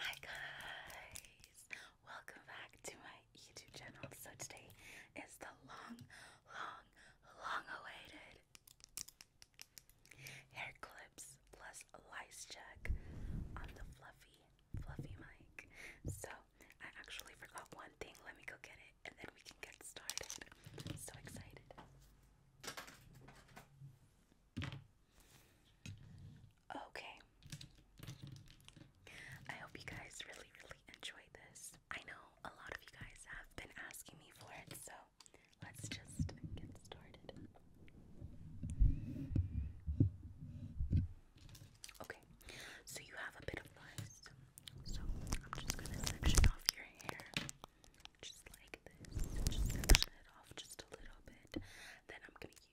Hi guys! Welcome back to my YouTube channel. So today is the long, long, long awaited hair clips plus lice check on the fluffy, fluffy mic. So I actually forgot one thing. Let me go get it and then we can get started. so excited. Okay. I hope you guys really, really enjoyed this. I know a lot of you guys have been asking me for it, so let's just get started. Okay, so you have a bit of lice, so I'm just gonna section off your hair just like this, just section it off just a little bit. Then I'm gonna use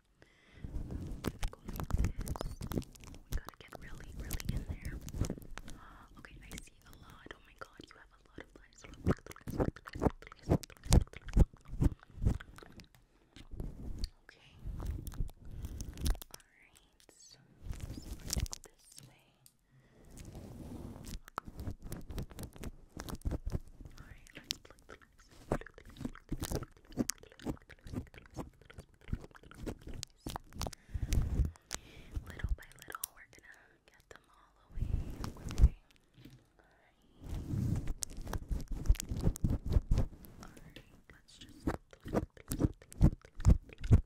go We gotta get really, really in there. okay, I see a lot. Oh my god, you have a lot of lines. Okay. Alright, so let's go this way. Alright, let's look, look, Little by little, we're gonna get them all away. Okay. Alright. Alright, let's just. Okay.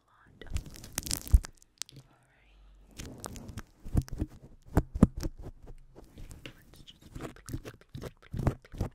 a lot. Alright. Let's just. So again, right here. Alright. Okay.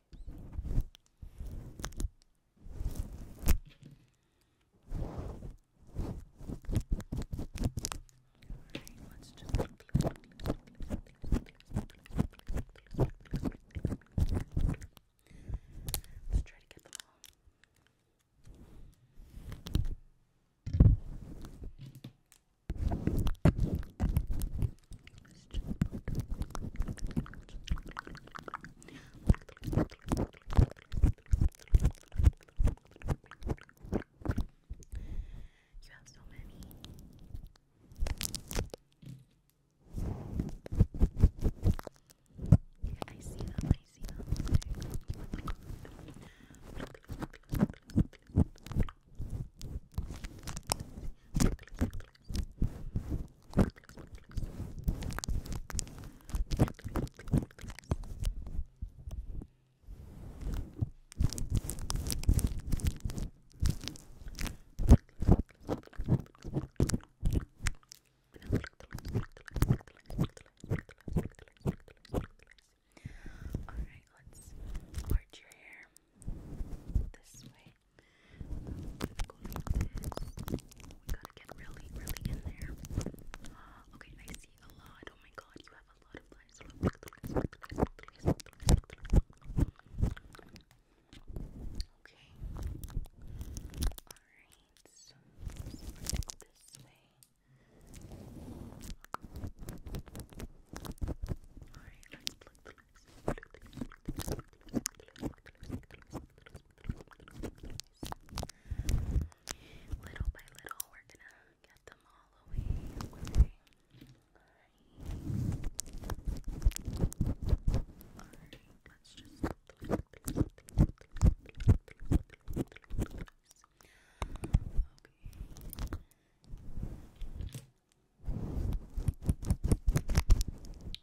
Alright, let's just let's try to get them all. You have so many. I see them, I see them. Okay. Alright, let's part your hair this way this. We gotta get really, really in there. okay, I see a lot. Oh my god, you have a lot of lines. Okay. Alright, so let's go this way. Alright, let's pluck the Little by little, we're gonna get them all away. away. Alright, right, let's just. Okay.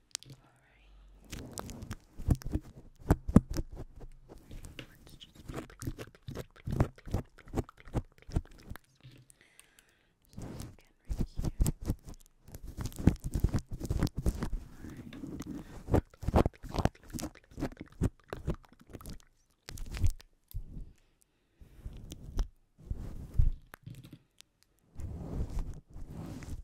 Let's just so again right here. Alright.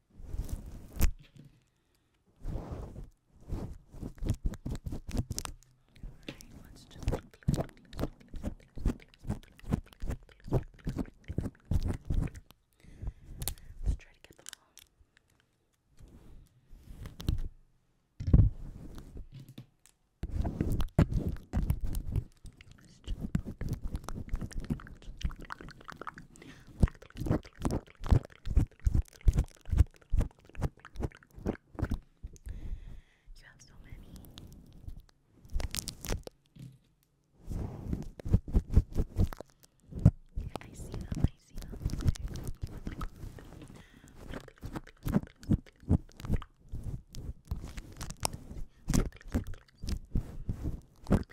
Alright, let's just click, click, click, Let's try to get them all. Let's just look. You have so many. I see them, I see them. Okay. Alright,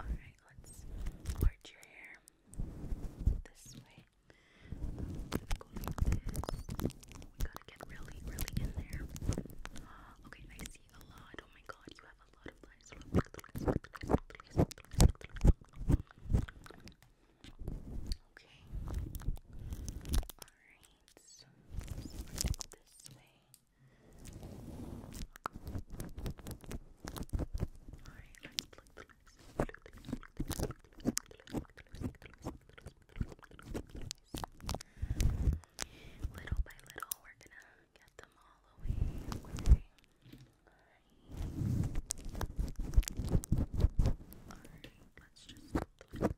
let's arch your hair this way. Go like this we gotta get really, really in there. Okay, I see a lot. Oh my god, you have a lot of lines. Okay. Alright, this way. Little by little, we're gonna get them all away. Alright. let's just.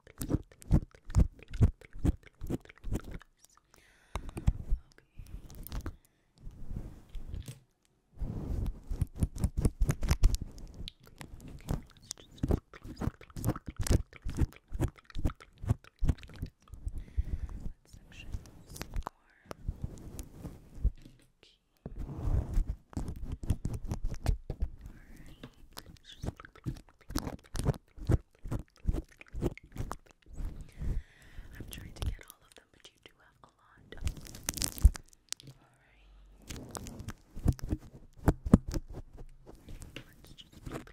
Okay. What section Okay. I'm trying to get all of them, but you do have a lot. Alright. Let's just so again right here. Just take them all around.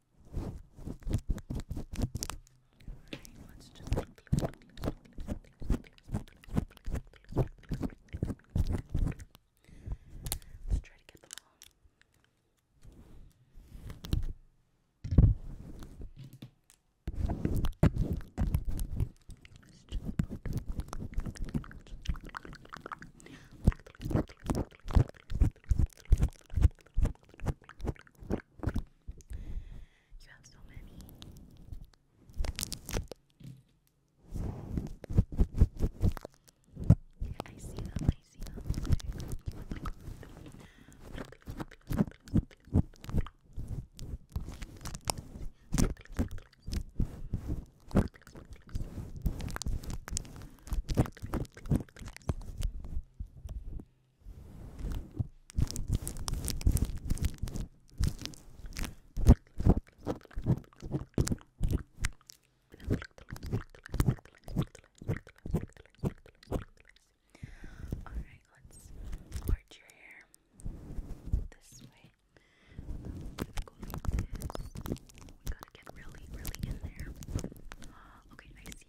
Alright, let's just click, click, click, Let's try to get them all. Let's just you have so many. I see them, I see them. All right, let's part your hair this way. We gotta get really, really in there. Okay, I see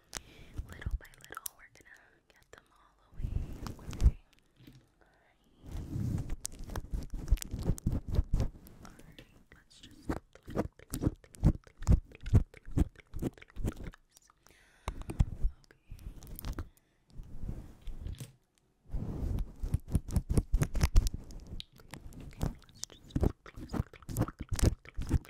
little by little, we're gonna get them all away. away. let's just. Okay. Okay,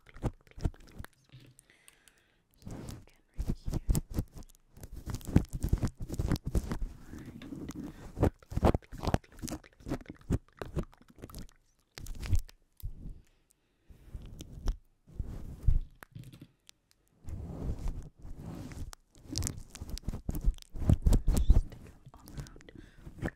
again right here. Just take them all around.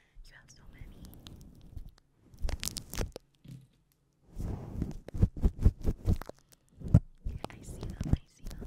You have so many. I see them, I see them.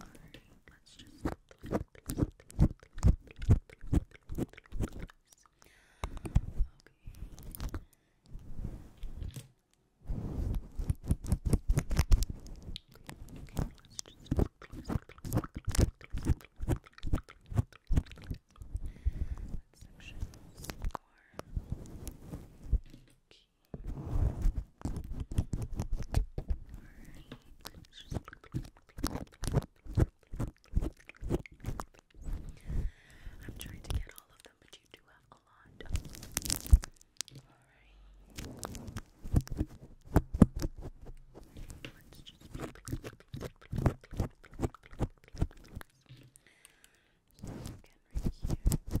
Alright, let's just Okay. Let's just Okay. I'm trying to get all of them, but you do have a lot. Alright. Let's just again right here. Just all around.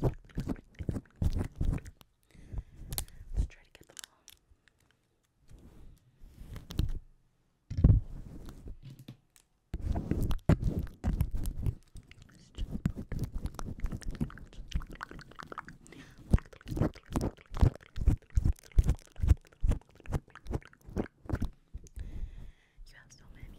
Let's try to get them all. Let's just you have so many.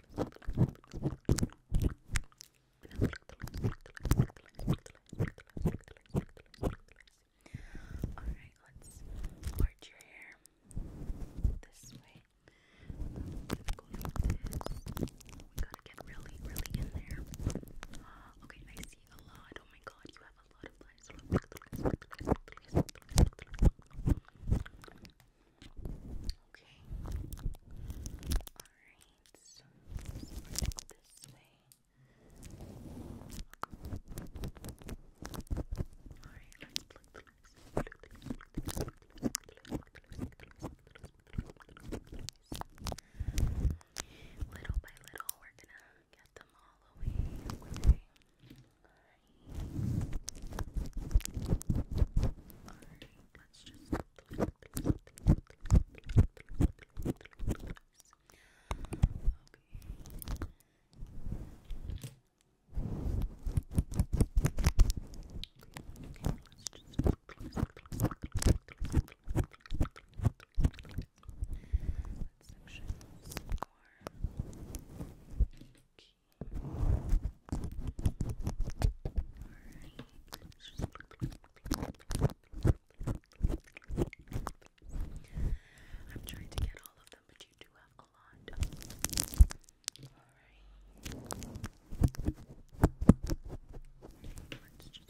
Alright, let's part your hair this way. I'm gonna go like this. We gotta get really, really in there. Uh, okay, I see a lot. Oh my god, you have a lot of lines. Okay. Alright, so this way. Alright, Little by little, we're gonna get them all away. Alright, let's just Okay. Okay, okay, let's just Let's section some more. Okay. I'm trying to get all of them, but you do have a lot. Alright. Let's just.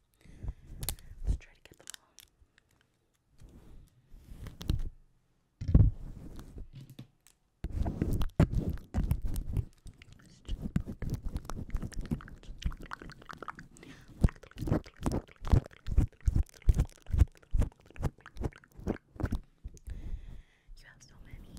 Let's try to get them all. you have so many.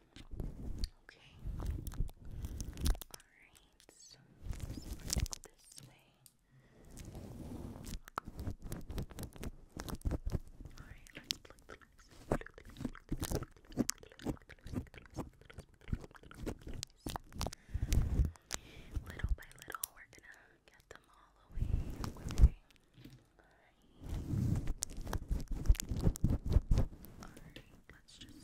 Okay. Alright, so this way. Alright, Little by little, we're gonna get them all away. away. Alright, let's just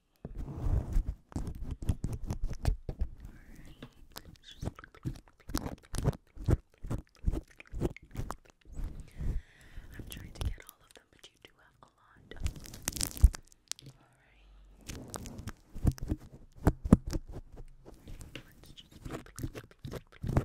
I'm trying to get all of them, but you do have a lot. Alright. Let's just so again right here.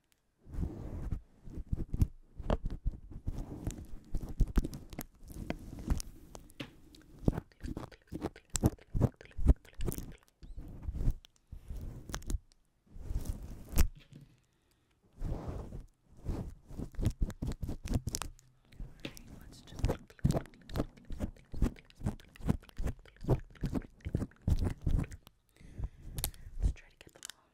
let's just Let's try to get them all.